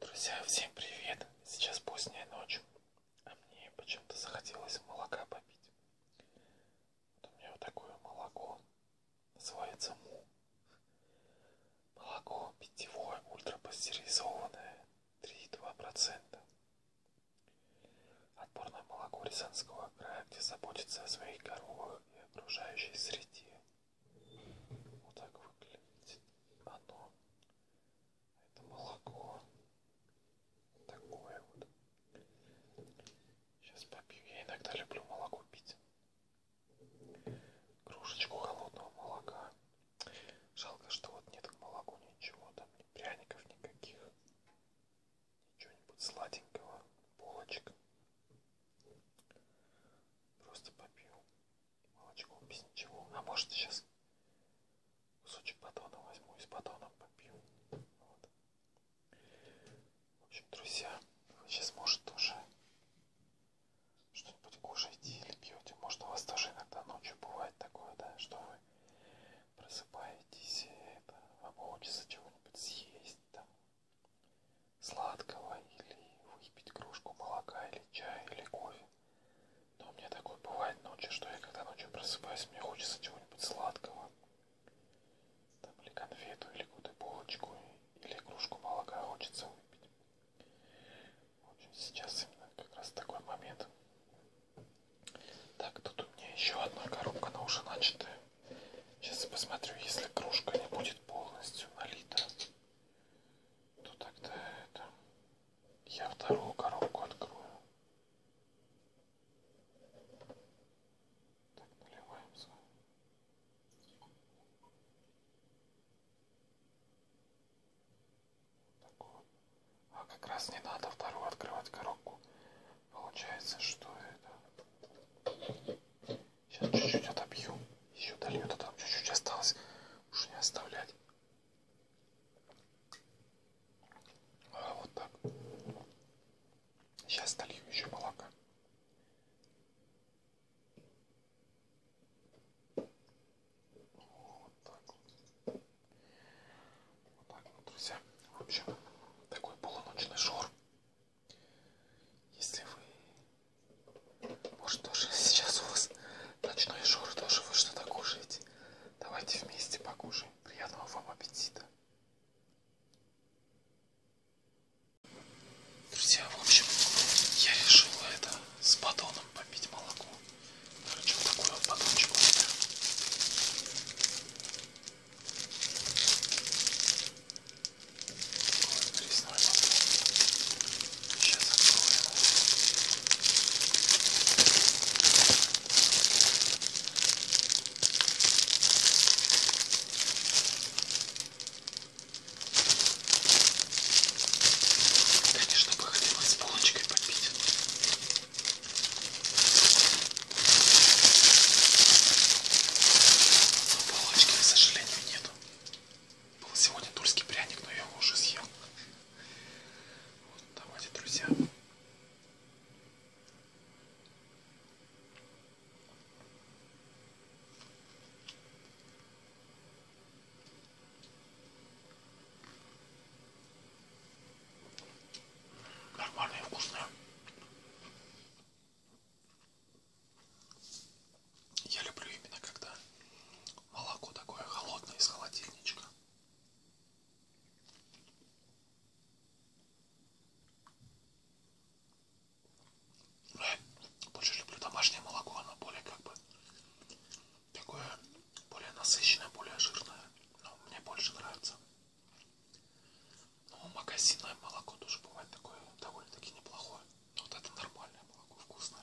Друзья, всем привет! Сейчас поздняя ночь, а мне почему-то захотелось молока попить. Вот у меня вот такое молоко, называется му. Молоко питьевое, ультрапастеризованное, 3,2%. Отборное молоко Рязанского края, где заботится о своих коровах и окружающей среде. Вот так выглядит оно. Это молоко. Такое вот. Сейчас попью. Я иногда люблю молоко пить. Кружечку холодного молока. Жалко, что вот нет к молоку ничего. Там ни пряников никаких. Ничего-нибудь сладенького. Булочек. Просто попью молочко без ничего. А может сейчас кусочек батона возьму и с батоном попью. Вот. В общем, друзья, вы сейчас может тоже что-нибудь кушаете или пьете. Может у вас тоже иногда ночью бывает такое, да, что вы просыпаетесь, и это, вам хочется чего-нибудь съесть, там, сладкого или выпить кружку молока или чая или кофе. Но у меня такое бывает ночью, что я когда ночью просыпаюсь, мне хочется чего-нибудь сладкого. Там или конфету, или какую-то булочку, или кружку молока хочется выпить. В общем, сейчас именно как раз такой момент. Так, тут у меня еще одна коробка, она уже начатая. Сейчас посмотрю, если кружка не будет полностью налита, то ну, тогда это я вторую коробку открою. Так, наливаемся. Так вот. А как раз не надо вторую открывать коробку. Получается, что это Сейчас чуть-чуть отобью. Еще дольет, а там чуть-чуть осталось. Уж не оставлять. А, вот так. Сейчас долью еще молока. Вот так вот. Вот так вот, друзья. В общем, такой полуночный шор. Если вы... Может, тоже сейчас у вас ночной жор, тоже вы что-то кушаете? Давайте вместе покушаем. Приятного вам аппетита. Друзья, в общем, я решил это с батоном попить молоко. Короче, вот такой вот батончик у меня. Пресной Сейчас откроем. Конечно, бы хотелось с полочкой попить. Но полочки, к сожалению, нету. Был сегодня тульский пряник, но я его уже съел. Вот, давайте, друзья. Нормальные, вкусные. Я люблю именно когда молоко такое холодное из холодильничка. Больше люблю домашнее молоко, оно более как бы такое более насыщенное, более жирное. Но мне больше нравится. Но магазинное молоко тоже бывает такое довольно-таки неплохое. Но вот это нормальное молоко, вкусное.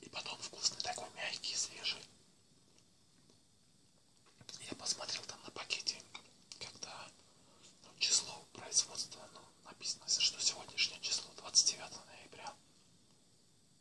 И потом вкусный такой мягкий, свежий. Я посмотрел там на пакете, когда ну, число производства ну, написано, что сегодняшнее число 29 ноября.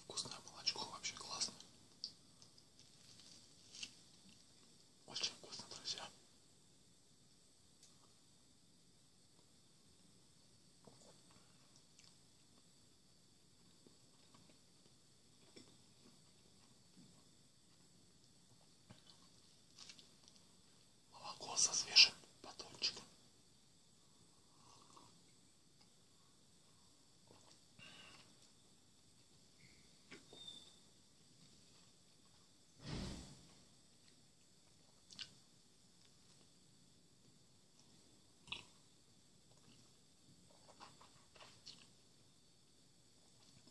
Вкусное молочко, вообще классно. Очень вкусно, друзья. Молоко со свежим батончиком.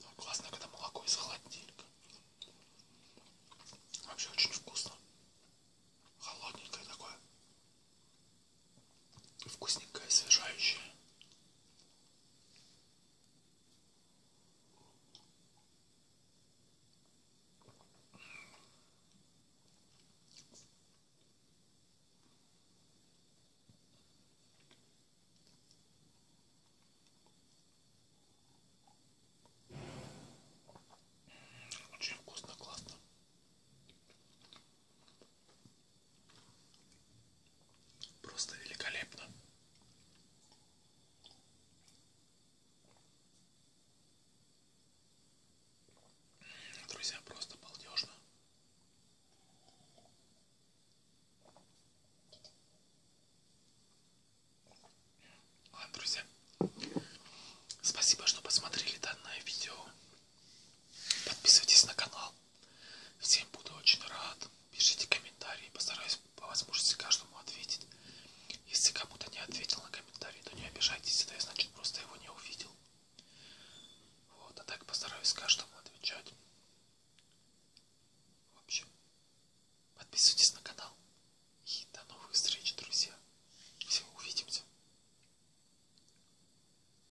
Ну, классно, когда молоко из холодильника. Вообще очень вкусно. Холодненькое такое вкусненькая, освежающая. Очень вкусно, классно. Просто великолепно. Друзья, просто балдежно. Ладно, друзья. Спасибо, что посмотрели данное видео. Подписывайтесь на канал. Всем буду очень рад. Пишите комментарии. Постараюсь по возможности каждому ответить. Если кому-то не ответил на комментарий, то не обижайтесь. Это я, значит, просто его не увидел. Вот, а так постараюсь каждому отвечать. В общем, подписывайтесь на канал. И до новых встреч, друзья. Всего увидимся.